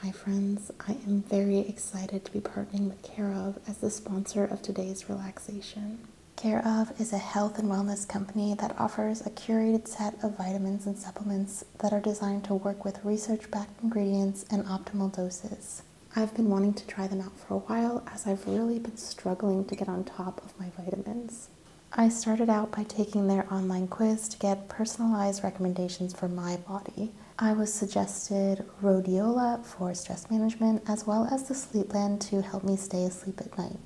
Hi friends, I am very excited to be partnering with Care of as the sponsor of today's relaxation. Care of is a health and wellness company that offers a curated set of vitamins and supplements that are designed to work with research-backed ingredients and optimal doses. I've been wanting to try them out for a while as I've really been struggling to get on top of my vitamins. I started out by taking their online quiz to get personalized recommendations for my body. I was suggested rhodiola for stress management as well as the Sleep sleepland to help me stay asleep at night.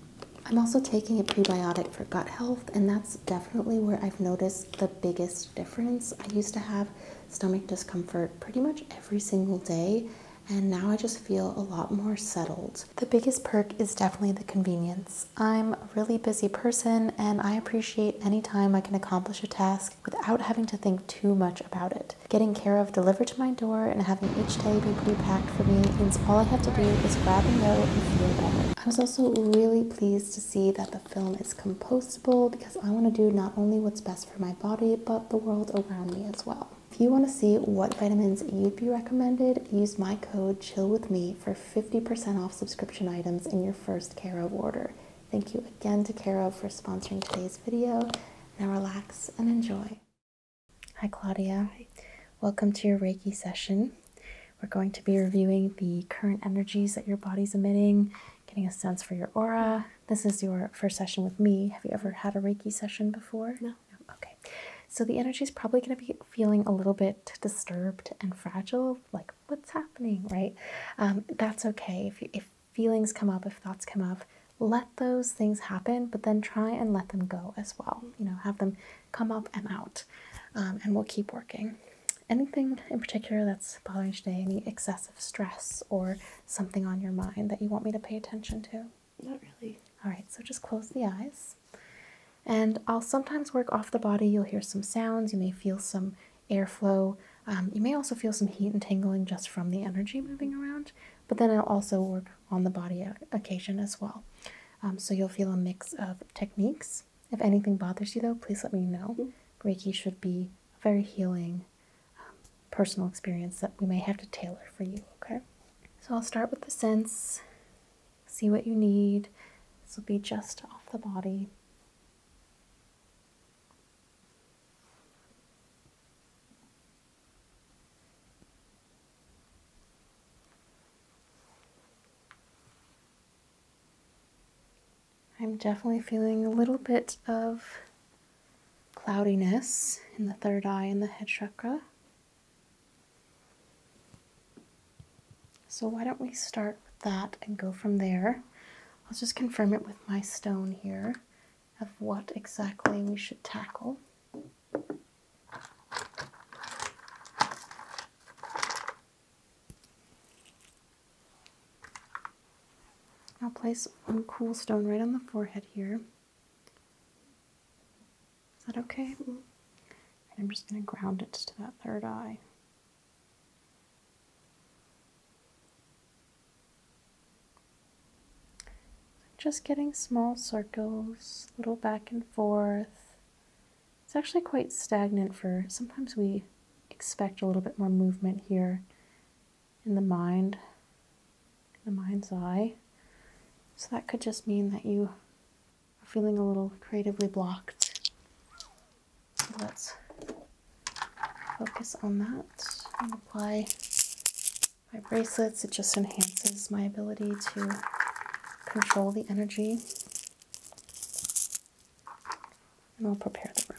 I'm also taking a prebiotic for gut health, and that's definitely where I've noticed the biggest difference. I used to have stomach discomfort pretty much every single day, and now I just feel a lot more settled. The biggest perk is definitely the convenience. I'm a really busy person and I appreciate any time I can accomplish a task without having to think too much about it. Getting care of delivered to my door and having each day be pre-packed for me means all I have to do is grab and go and feel better. I was also really pleased to see that the film is compostable because I want to do not only what's best for my body but the world around me as well. If you want to see what vitamins you'd be recommended, use my code CHILLWITHME for 50% off subscription items in your first Care of order. Thank you again to Care of for sponsoring today's video. Now relax and enjoy. Hi Claudia. Welcome to your Reiki session. We're going to be reviewing the current energies that your body's emitting, getting a sense for your aura. This is your first session with me. Have you ever had a Reiki session before? No. Okay. So the energy is probably going to be feeling a little bit disturbed and fragile, like what's happening, right? Um, that's okay. If, if feelings come up, if thoughts come up, let those things happen, but then try and let them go as well. You know, have them come up and out, um, and we'll keep working. Anything in particular that's bothering you today? Any excessive stress or something on your mind that you want me to pay attention to? Not really. All right, so just close the eyes. And I'll sometimes work off the body. You'll hear some sounds. You may feel some airflow. Um, you may also feel some heat and tingling just from the energy moving around. But then I'll also work on the body occasion as well. Um, so you'll feel a mix of techniques. If anything bothers you, though, please let me know. Mm-hmm. Reiki should be a very healing um, personal experience that we may have to tailor for you, okay? So I'll start with the sense. see what you need. This will be just off the body. I'm definitely feeling a little bit of cloudiness in the third eye and the head chakra. So why don't we start with that and go from there. I'll just confirm it with my stone here of what exactly we should tackle. I'll place one cool stone right on the forehead here. Is that okay? I'm just going to ground it to that third eye. just getting small circles, little back and forth. It's actually quite stagnant for sometimes we expect a little bit more movement here in the mind the mind's eye. So that could just mean that you are feeling a little creatively blocked. let's focus on that and apply my bracelets. It just enhances my ability to control the energy. And I'll prepare the room.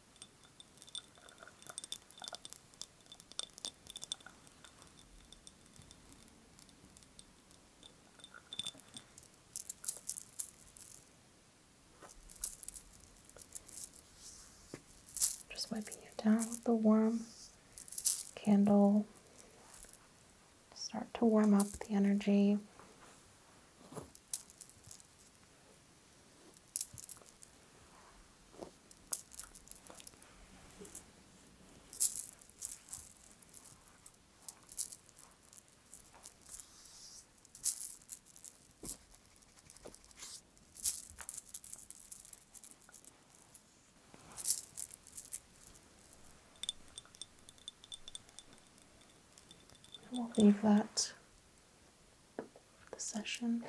Just wiping it down with the warm candle. Start to warm up the energy. We'll leave that the session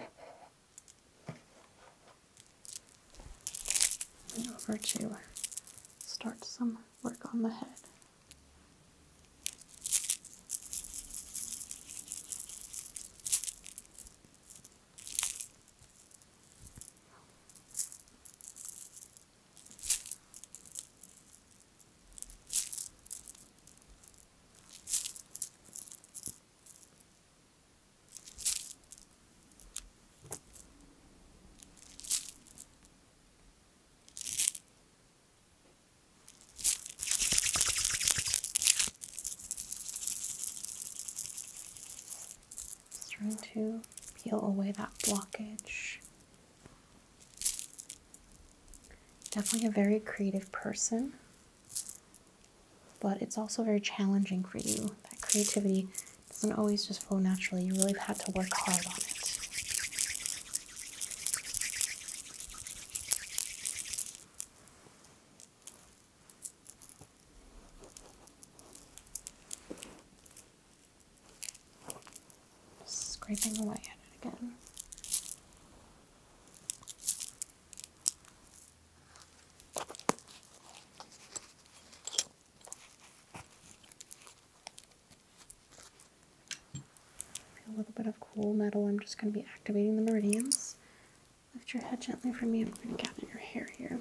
and over to start some work on the head. Just trying to peel away that blockage Definitely a very creative person, but it's also very challenging for you. That creativity doesn't always just flow naturally, you really have to work hard on it scraping away at it again. A little bit of cool metal. I'm just going to be activating the meridians. Lift your head gently from me. I'm going to gather your hair here.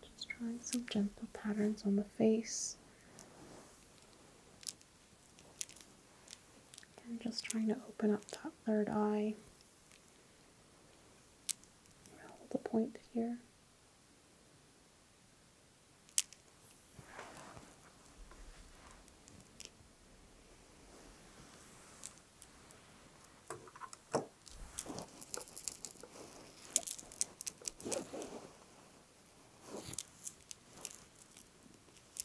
Just drawing some gentle patterns on the face I'm just trying to open up that third eye. Hold the point here.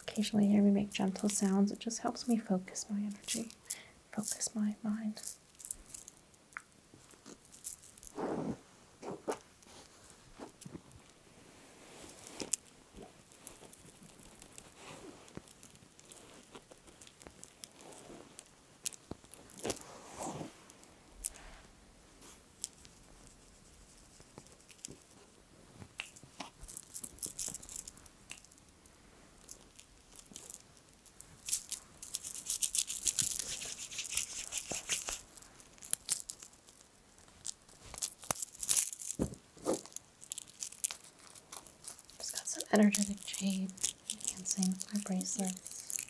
Occasionally, hear me make gentle sounds. It just helps me focus my energy, focus my mind. Just got some energetic jade with my bracelets.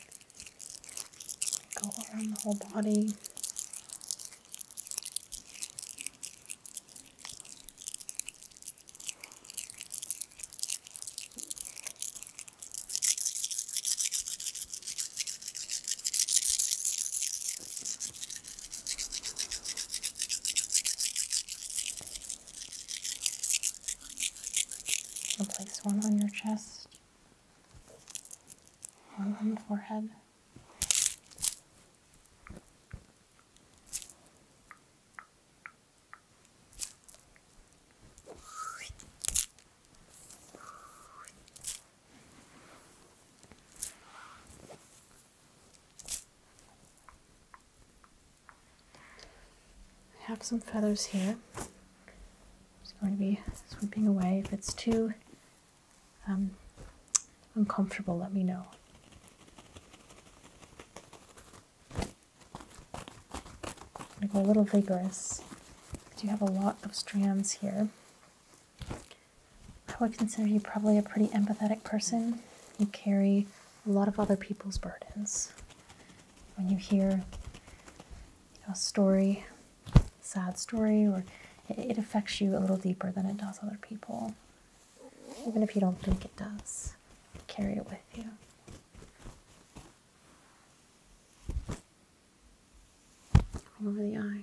Go around the whole body i place one on your chest, one on the forehead. I have some feathers here. i just going to be sweeping away. If it's too um, uncomfortable, let me know. I'm going to go a little vigorous. You have a lot of strands here. I would consider you probably a pretty empathetic person. You carry a lot of other people's burdens. When you hear a story, sad story, or it affects you a little deeper than it does other people. Even if you don't think it does, carry it with you. All over the eyes.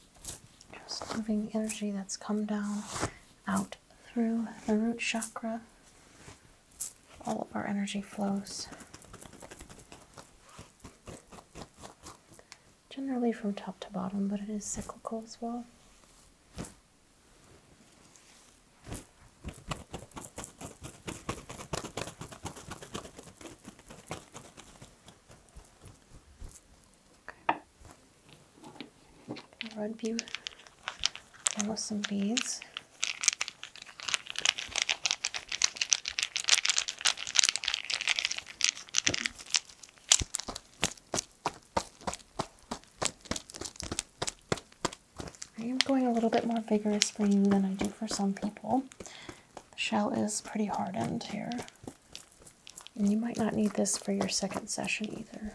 Just moving energy that's come down out through the root chakra. All of our energy flows generally from top to bottom, but it is cyclical as well. Okay. I'll some beads. I am going a little bit more vigorous for you than I do for some people. The shell is pretty hardened here. And you might not need this for your second session either.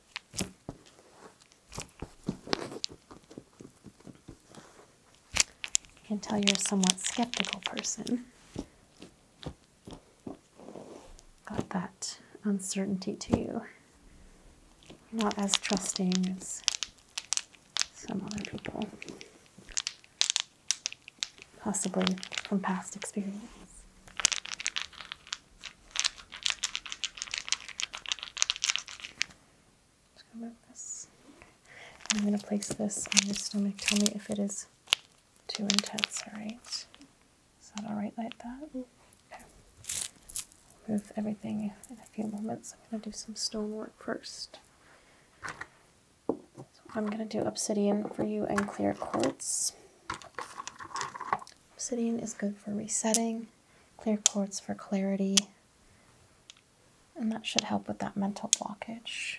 I can tell you're a somewhat skeptical person. Got that uncertainty to you. not as trusting as some other people, possibly from past experience. I'm gonna place this on your stomach. Tell me if it is too intense, alright? Is that alright like that? Mm-hmm. Okay. Move everything in a few moments. I'm gonna do some stone work first. I'm gonna do obsidian for you and clear quartz. Obsidian is good for resetting clear quartz for clarity. And that should help with that mental blockage.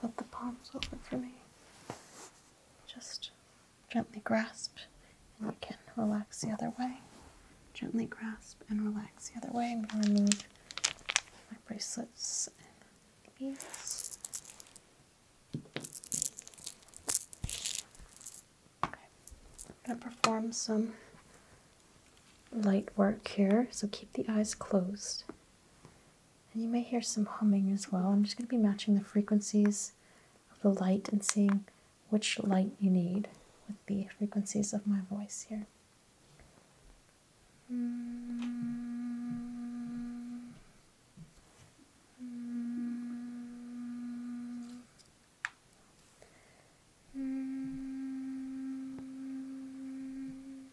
Flip the palms over for me. Just gently grasp, and you can relax the other way. Gently grasp and relax the other way. I'm going to remove my bracelets and beads. Okay, I'm going to perform some light work here, so keep the eyes closed. And you may hear some humming as well. I'm just going to be matching the frequencies of the light and seeing which light you need with the frequencies of my voice here. Mm. Mm.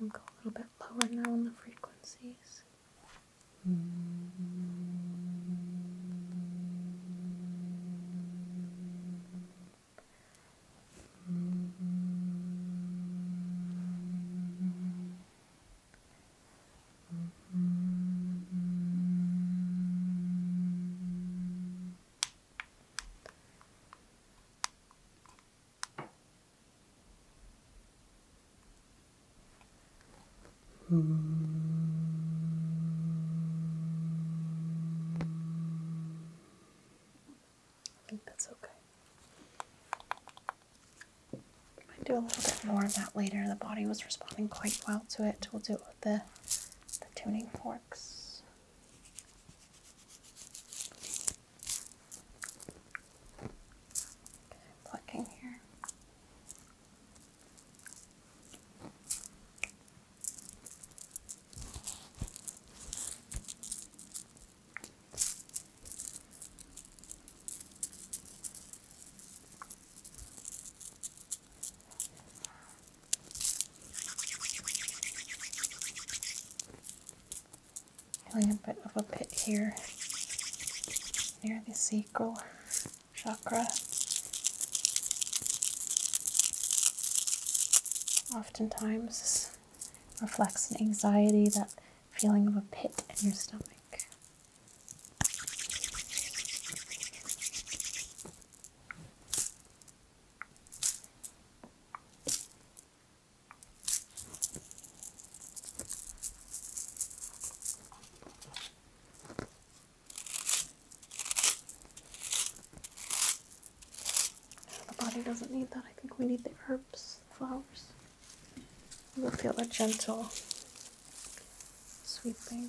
We'll go a little bit lower now on the frequencies. Hmm. I think that's okay. I might do a little bit more of that later. The body was responding quite well to it. We'll do it with the, the tuning forks. Plucking here feeling a bit of a pit here near the sacral chakra. Oftentimes, reflects an anxiety, that feeling of a pit in your stomach. The body doesn't need that. I think we need the herbs, the flowers. We'll feel a gentle sweeping.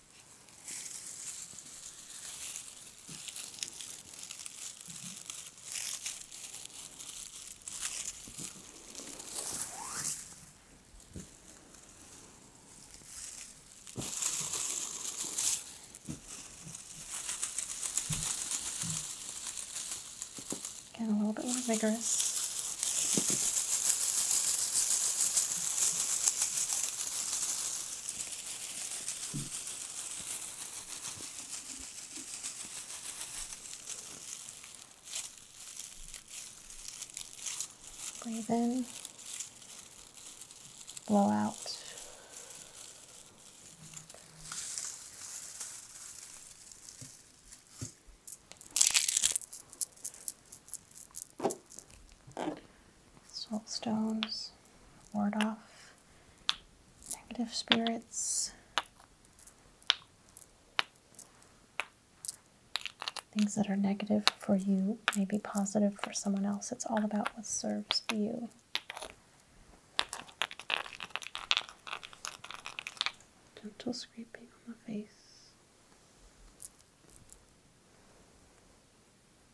And a little bit more vigorous. Breathe in, blow out. Salt stones, ward off negative spirits, things that are negative for you may be positive for someone else. It's all about what serves you. Gentle scraping on the face.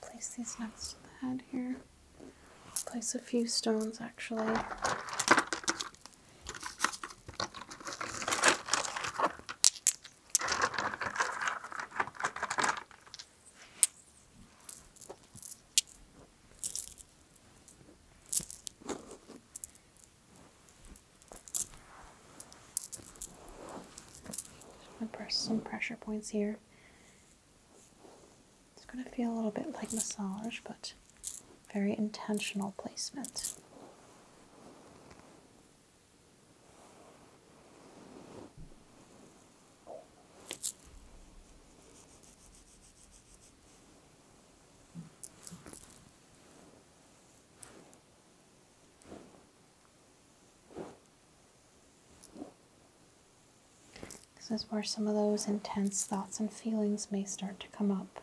Place these next to the head here. Place a few stones actually. Just press some pressure points here. It's going to feel a little bit like massage, but very intentional placement. This is where some of those intense thoughts and feelings may start to come up.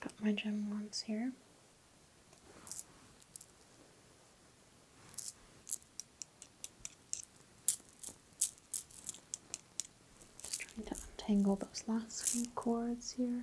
Got my gem wands here. Just trying to untangle those last few cords here.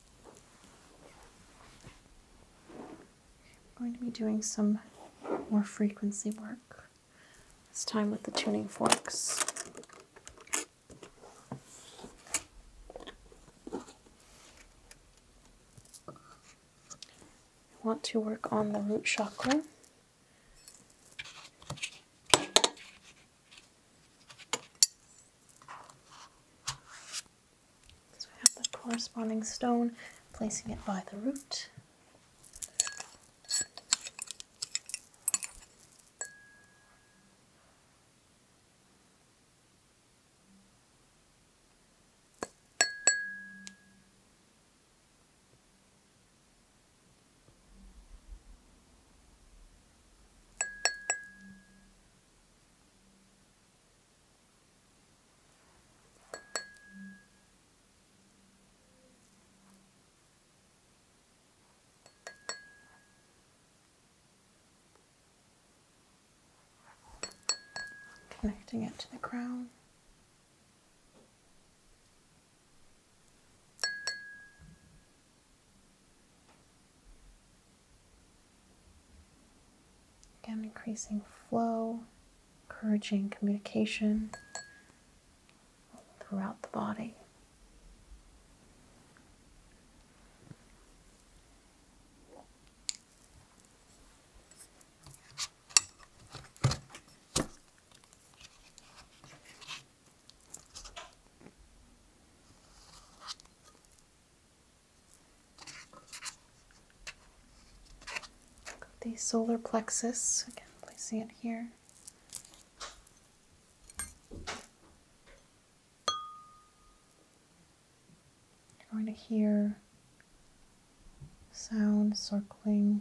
I'm going to be doing some more frequency work, this time with the tuning forks. I want to work on the root chakra. So we have the corresponding stone, placing it by the root. Connecting it to the crown. Again, increasing flow, encouraging communication throughout the body the solar plexus, again, placing it here. You're going to hear sound circling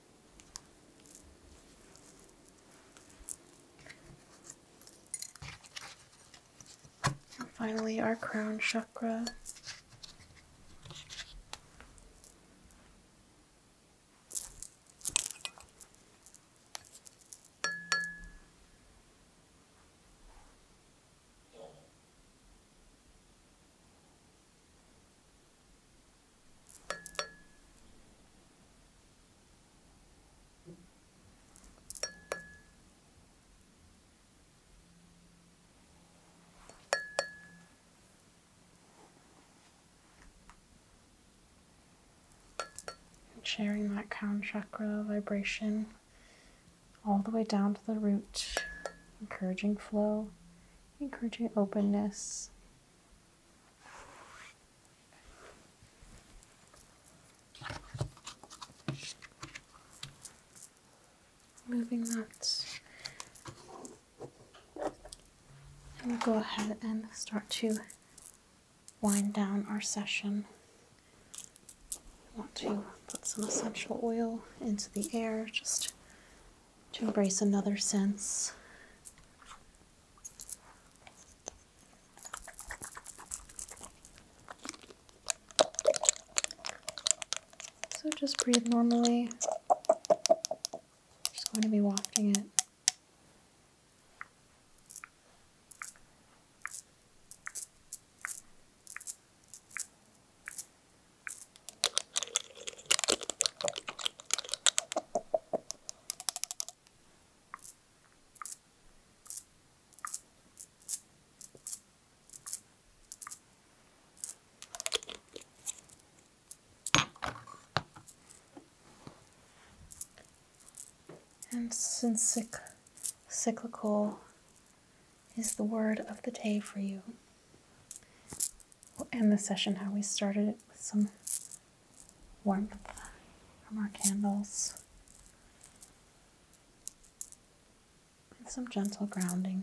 finally, our crown chakra. And sharing that crown chakra vibration all the way down to the root, encouraging flow, encouraging openness. Moving that, and we'll go ahead and start to wind down our session. I want to put some essential oil into the air just to embrace another sense. So just breathe normally. just going to be wafting it. And since cyclical is the word of the day for you, We'll end the session how we started it with some warmth from our candles and some gentle grounding.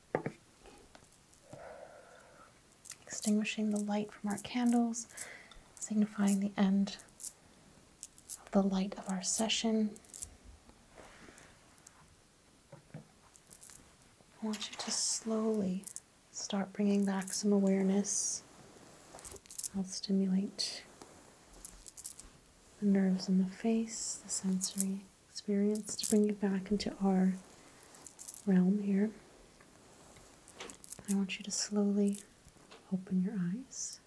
Extinguishing the light from our candles, signifying the end of the light of our session. I want you to slowly start bringing back some awareness. I'll stimulate the nerves in the face, the sensory experience to bring you back into our realm here. I want you to slowly open your eyes,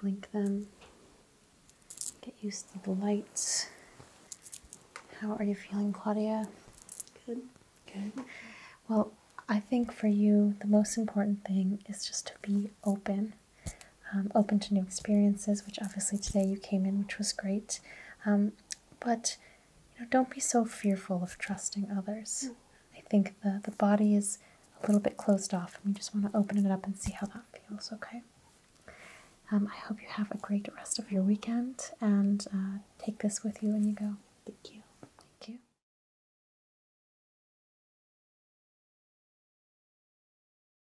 blink them, get used to the lights. How are you feeling, Claudia? Good. Good. Well, I think for you, the most important thing is just to be open um, open, to new experiences, which obviously today you came in, which was great. Um, but you know, don't be so fearful of trusting others. Mm. I think the, the body is a little bit closed off, and we just want to open it up and see how that feels, okay? Um, I hope you have a great rest of your weekend and uh, take this with you when you go. Thank you. Thank you.